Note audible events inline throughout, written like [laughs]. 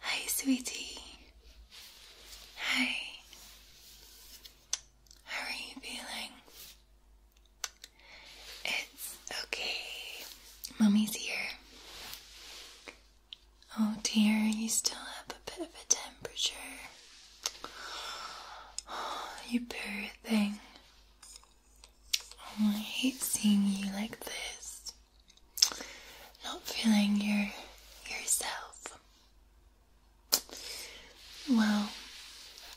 Hi, sweetie. Hi. How are you feeling? It's okay. Mommy's here. Oh dear, you still have a bit of a temperature. [gasps] you poor thing. Oh, I hate seeing you like this. Not feeling your yourself. Well,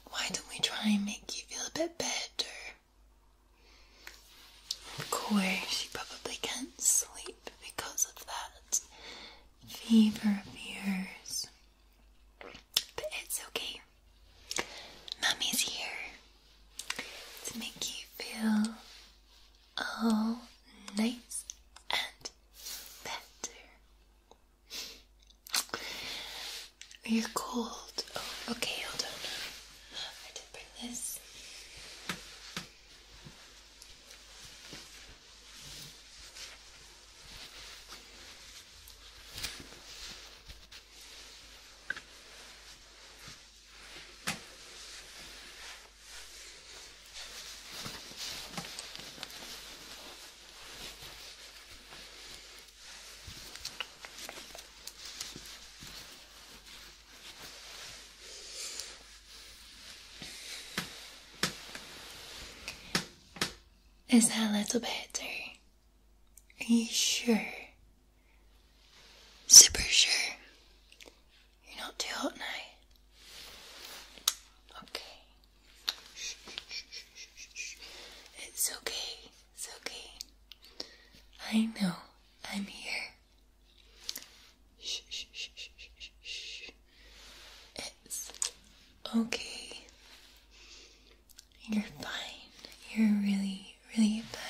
why don't we try and make you feel a bit better? Of course, you probably can't sleep because of that fever of yours. But it's okay. Mummy's here to make you feel all nice and better. You're cold. Oh, okay, hold on. I did bring this. Is that a little better? Are you sure? Super sure. You're not too hot now. Okay. Shh, shh, shh, it's okay. It's okay. I know. I'm here. It's okay. You're fine. You're really, really fine.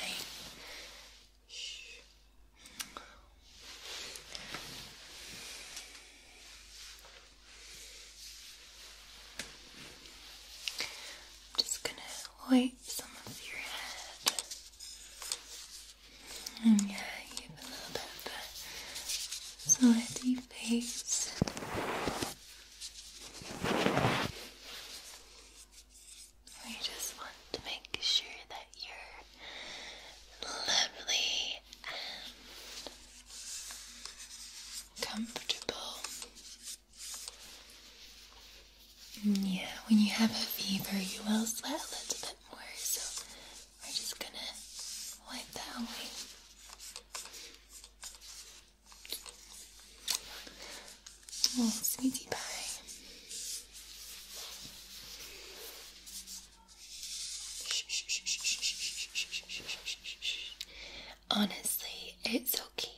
I'm just gonna wipe some of your head. yeah, you a little bit of a sweaty face. I just want to make sure that you're lovely and comfortable. Yeah, when you have a fever, you will sweat a little bit more, so we're just gonna wipe that away. Oh, sweetie pie. Honestly, it's okay.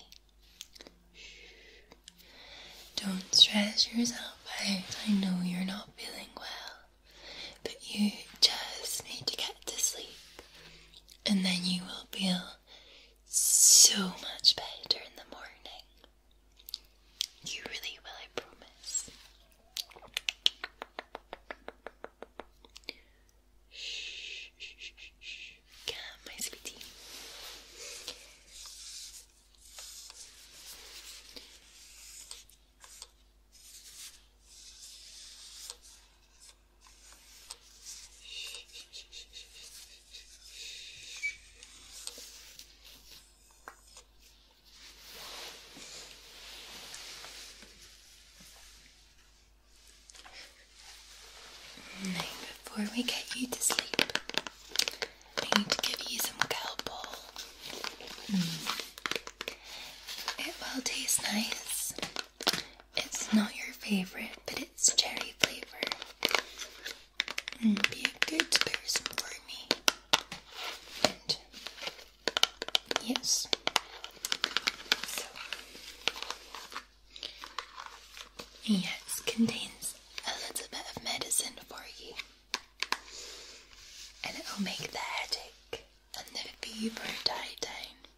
Don't stress yourself out. I know you're not feeling well, but you just need to get to sleep and then you will feel so much better in the morning. You really will, I promise. Shh, my sweetie before we get you to sleep, I need to give you some kelpol. Mm. It will taste nice it's not your favorite, but it's cherry flavor. Mm, be a good person for me. And yes. yes, contains a little bit of medicine for you. And it'll make the headache and the fever die down.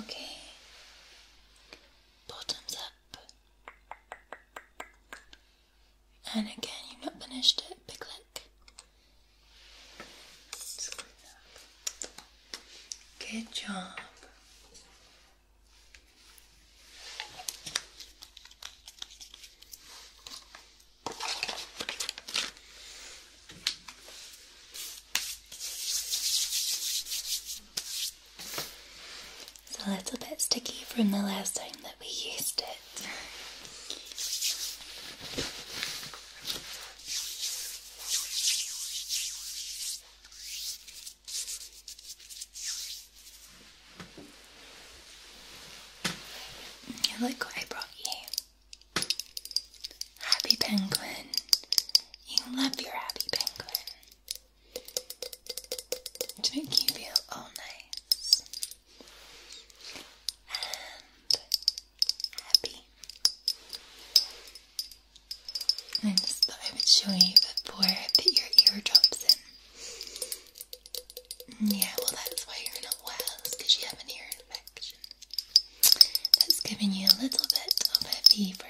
Okay, bottoms up, and again, you've not finished it. Big lick. Good job. It's a little bit sticky from the last time that we used it. Look what I brought you. Happy Penguin. You love your happy penguin. To make you feel all nice. And happy. I just thought I would show you before I put your ear drops in. Mm, yeah, well that's why you're not well, because you have an ear infection. That's giving you a little bit of a fever.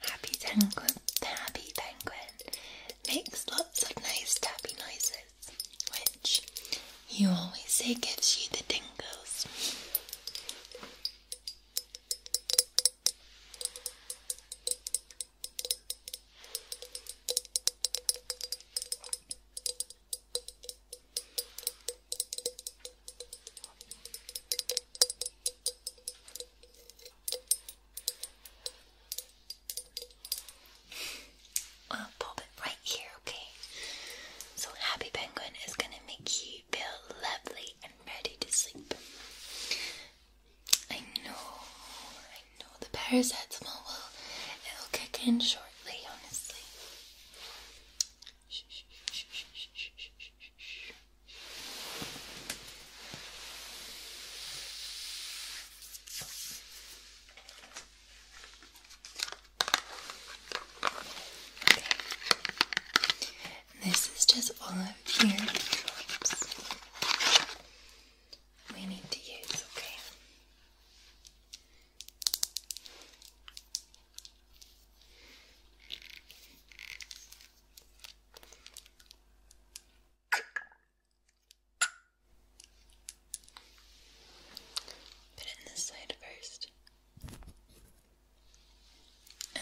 Happy penguin, happy penguin makes lots of nice tappy noises, which you always say gives you the tingles. I'll pop it right here, okay? So Happy Penguin is gonna make you feel lovely and ready to sleep. I know, I know the paracetamol will it'll kick in shortly, honestly. This is just all of your drops we need to use, okay? Put it in this side first.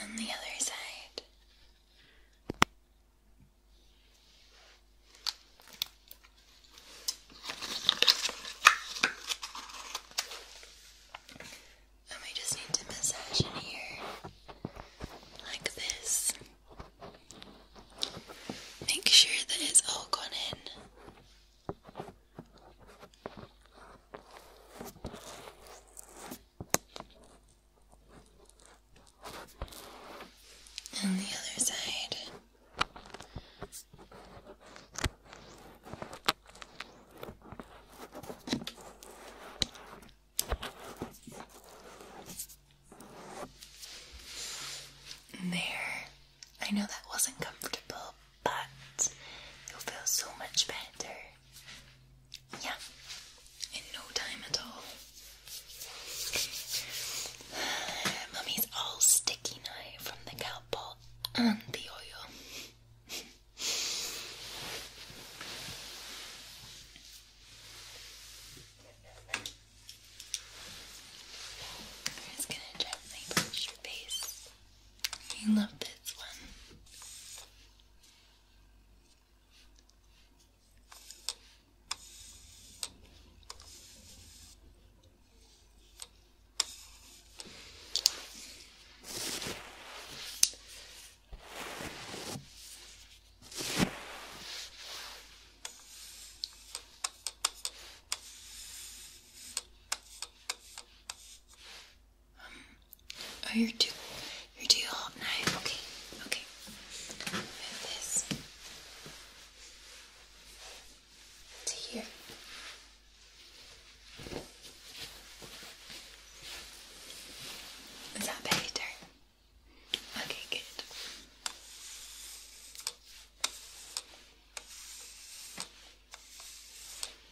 On the other side. And we just need to massage in here like this. Make sure that it's all gone in. And the other side. There. I know that wasn't comfortable, but you'll feel so much better. Yeah, in no time at all. [sighs] Mummy's all sticky now from the cowpaw and the oil. [laughs] I'm just gonna gently brush your face. I love this one. Um, oh, you're too, you hot now. Okay, okay. this to here. Is that better? Okay, good.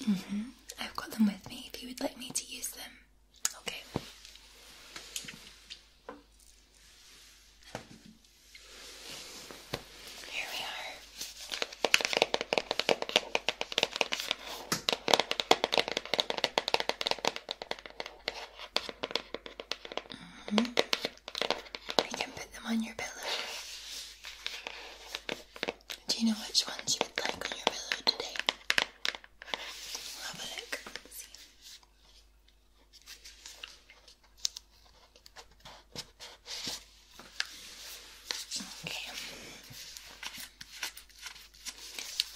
Mm hmm I've got them with me if you would like me to use them. Okay. Here we are. Mm can put them on your pillow. Do you know which ones you would like on your pillow today? We'll have Okay.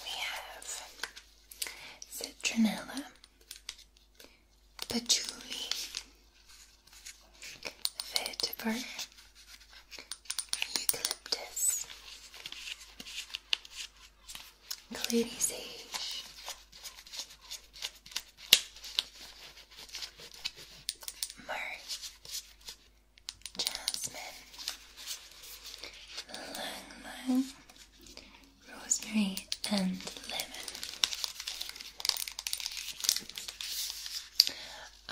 We have citronella, patchouli, vetiver, eucalyptus, clady sage, myrrh, jasmine, lang lang, rosemary, and lemon.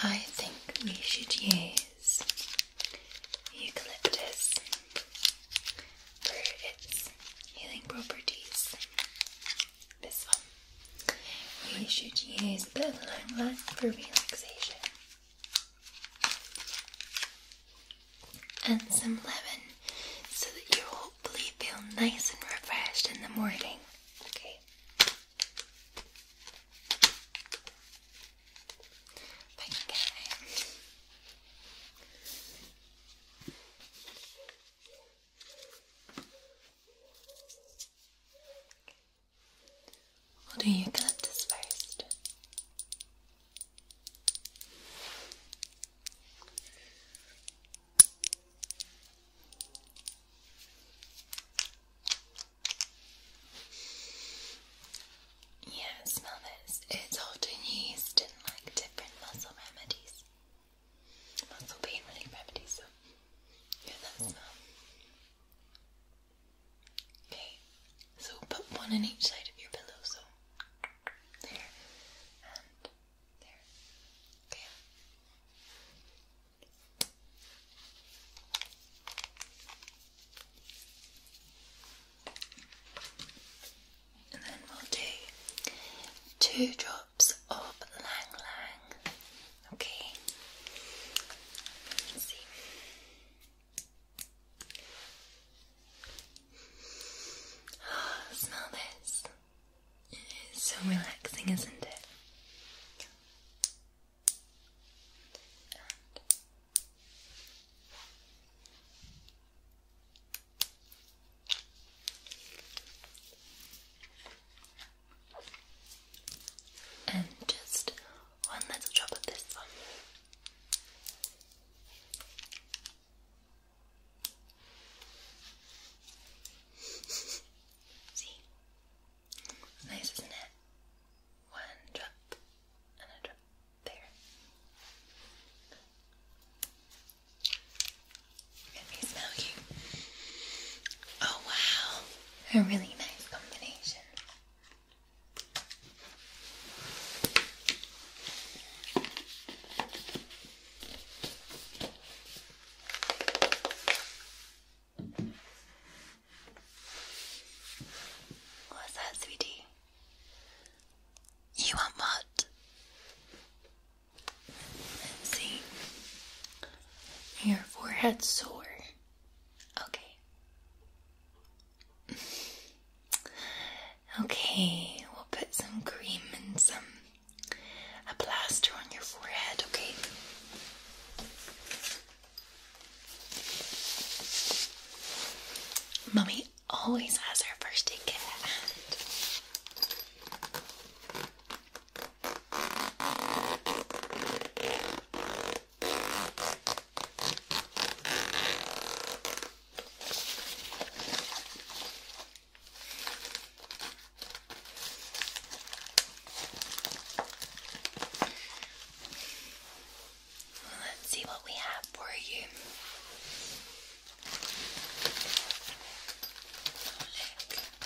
I think we should use eucalyptus for its healing properties. This one. We should use the bit of for relaxation and some lemon so that you hopefully feel nice and refreshed in the morning. Okay. What will do eucalyptus first. Yeah, smell this. It's often used in like different muscle remedies. Muscle pain relief remedies, yeah, that smell. Okay, so put one on each side of your pillow, so there and there. Okay. And then we'll do two drops of Lang Lang. Okay. Oh, [sighs] smell this. It's so relaxing, isn't it? and just one little drop of this one. [laughs] See? nice, isn't it? One drop and a drop there. Let me smell you. Oh wow, a really nice combination. What's that, sweetie? You want mud. see. Your forehead's sore. Okay. Okay, we'll put some cream and some a plaster on your forehead, okay? Mummy always has her first aid kit Let's see what we have for you.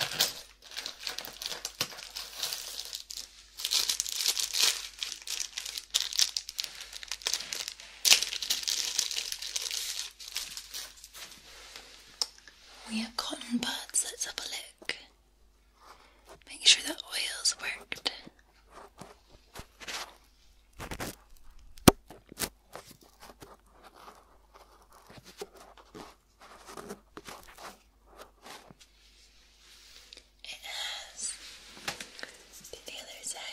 Look. We have cotton buds, let's have a look. Make sure that oil's worked. It has the other side.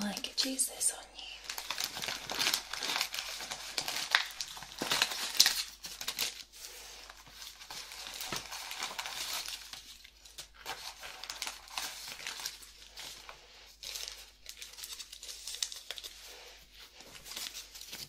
I could use this on you.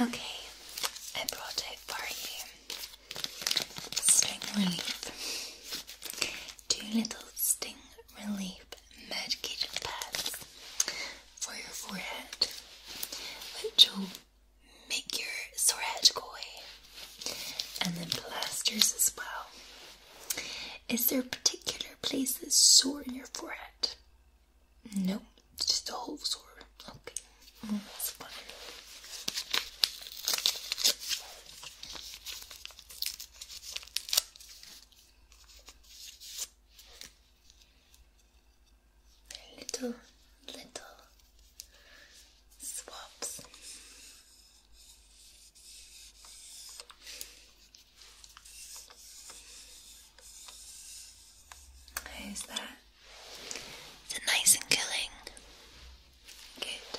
Okay, I brought it for you. Sting relief. Two little sting relief medicated pads for your forehead, which will make your sore head go away. And then plasters as well. Is there a particular place that's sore in your forehead? Nope, it's just a whole sword. Okay, mm, Little, little swaps. Is that is nice and killing. Good.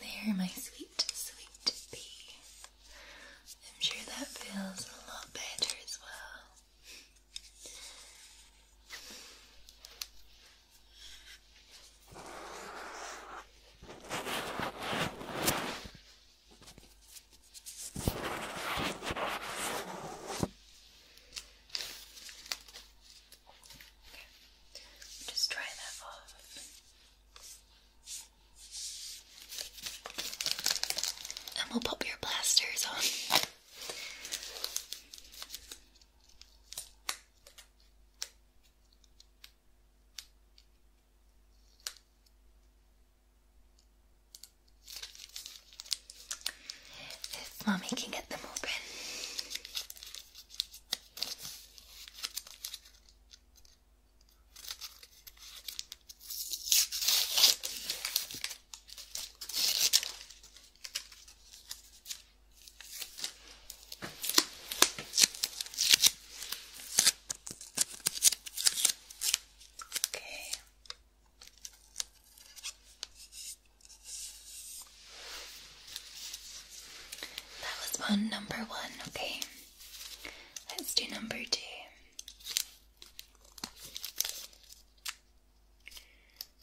There, my sweet, sweet bee. I'm sure that feels a lot better as well. Okay. Just try that off. And we'll pop your blasters on. If mommy can get them open. Okay. That was one number one, okay. Let's do number two.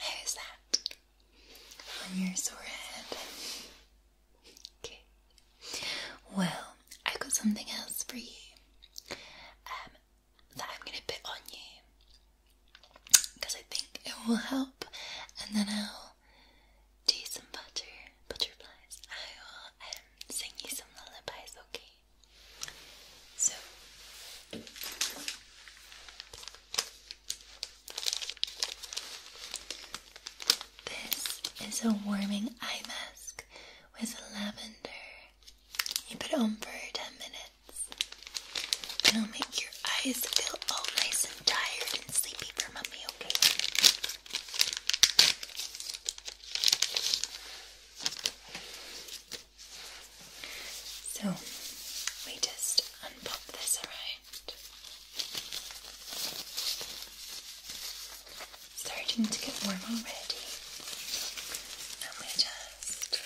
Who's that? on your forehead. Okay. Well, I have got something else for you um, that I'm going to put on you because I think it will help, and then I'll do some butter butterflies. I will um, sing you some lullabies. Okay. So. This is a warming eye mask with lavender. You put it on for 10 minutes. It'll make your eyes feel all nice and tired and sleepy for mummy, okay? So we just unpop this around. Starting to get warm already. And we just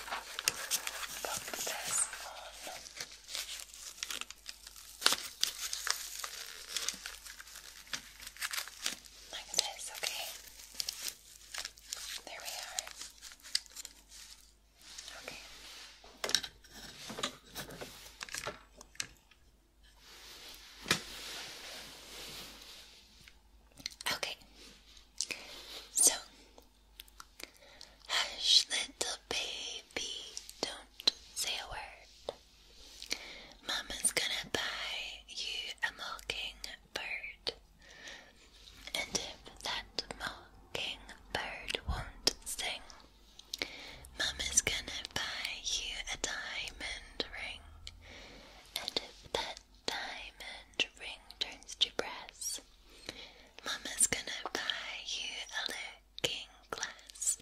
pop this on. Like this, okay? There we are. Okay. Okay. So, hush, little baby, don't say a word. Mama's gonna buy you a mockingbird. And if that mocking bird won't sing, Mama's gonna buy you a diamond ring. And if that diamond ring turns to brass, Mama's gonna buy you a looking glass.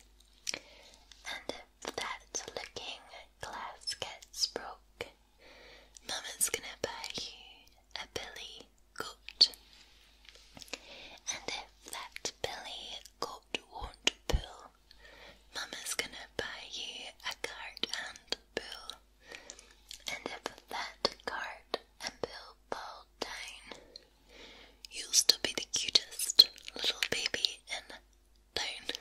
And if that looking glass gets broke, Mama's gonna buy you a billy goat. And if that billy goat won't pull, Mama's gonna buy you a cart and pull. And if that cart and pull down, you'll still be the cutest little baby in town.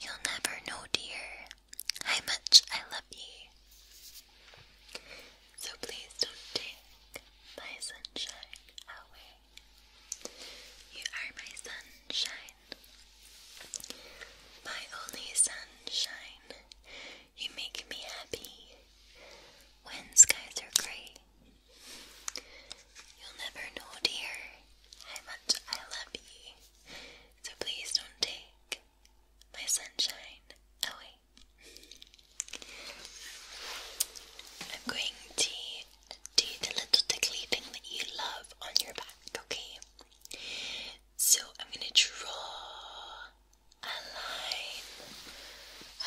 You'll never know, dear, how much I love you. So please don't take my sunshine away. You are my sunshine, my only sunshine. You make me happy when skies are grey You'll never know, dear, how much I love you, so please don't take my sunshine away. I'm going to do the little tickly thing that you love on your back, okay? So I'm going to draw a line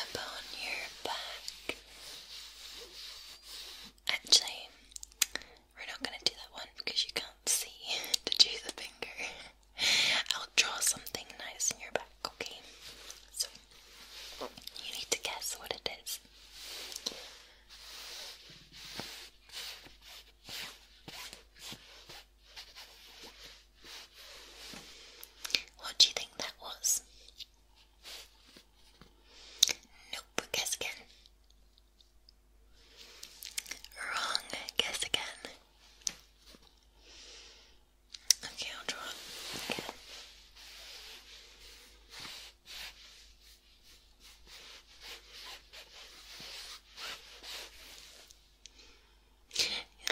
upon your back. Actually, we're not going to do that one because you can't see [laughs] to do the finger. [laughs] I'll draw something nice in your back, okay? So, you need to guess what it is. What do you think that was? Nope, guess again. Wrong, guess again. Okay, I'll draw again.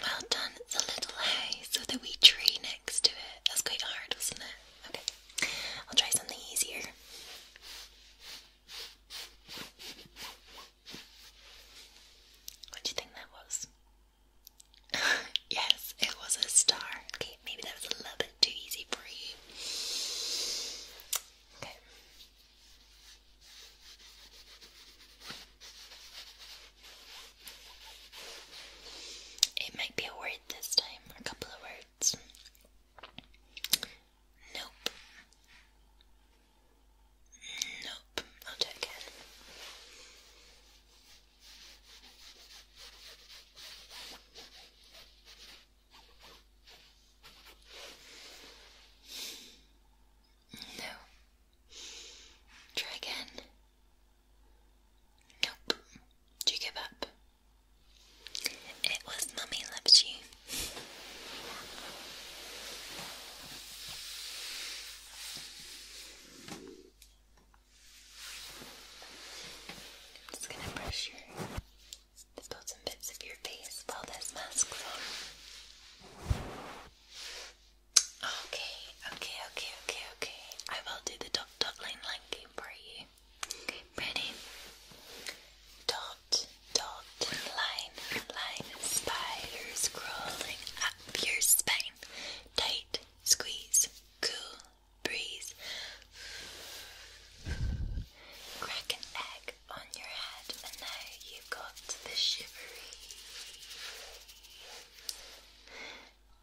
Well done, it's little hay, so the wee tree next to it. That's quite hard, wasn't it? Okay. I'll try something easier. What do you think that was? [laughs] yes, it was a star. Okay, maybe that was a little bit too easy for you. Okay. It might be a word this time, or a couple of words. Nope. Nope. I'll check again. No. Try again. Nope. Do you give up? It was Mummy Loves You. I'm just going to brush your, the bottom bits of your face while this mask's on. Okay, okay, okay, okay, okay. I will do the top top game for you ready? Dot, dot, line, line, spiders crawling up your spine. Tight, squeeze, cool, breeze. Crack an egg on your head, and now you've got the shivery.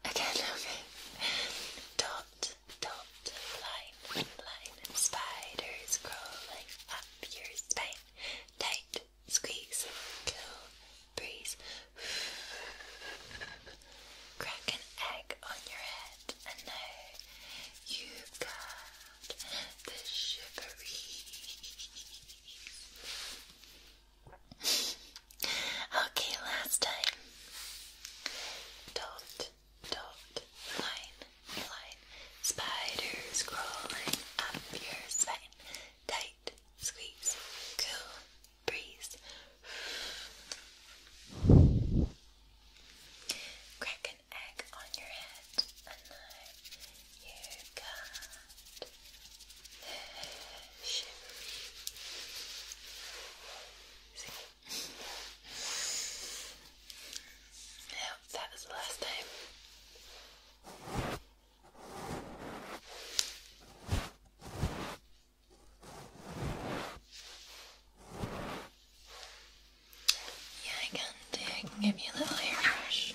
Again, [laughs] okay. Dot, don't line, line spiders crawling up your spine. Tight, squeeze, cool breeze. Crack an egg on your head, and now you've got the shivery. okay, last time. Don't dot, line, line, spiders crawling up your spine, tight, squeeze, cool, breeze. Crack an egg on your head, and now you got the shivery that was the last time. Yeah, I can do. I can give you a little hairbrush.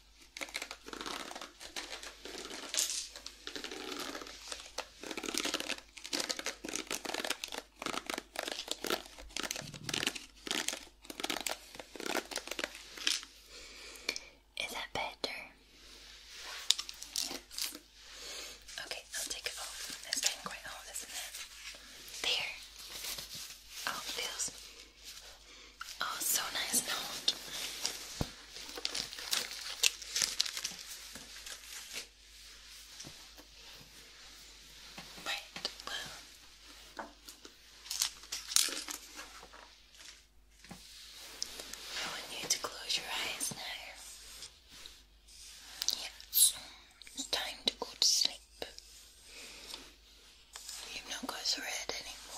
Is that better? Okay, I'll take it off. It's getting quite hot, isn't it? There. Oh, it feels Oh, so nice note. Bright I want you to close your eyes now. Yes, it's time to go to sleep. You've not got red anymore.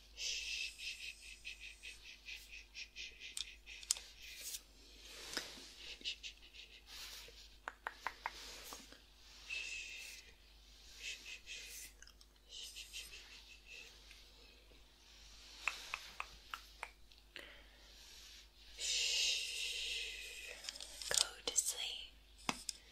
Go to sleep. Shh.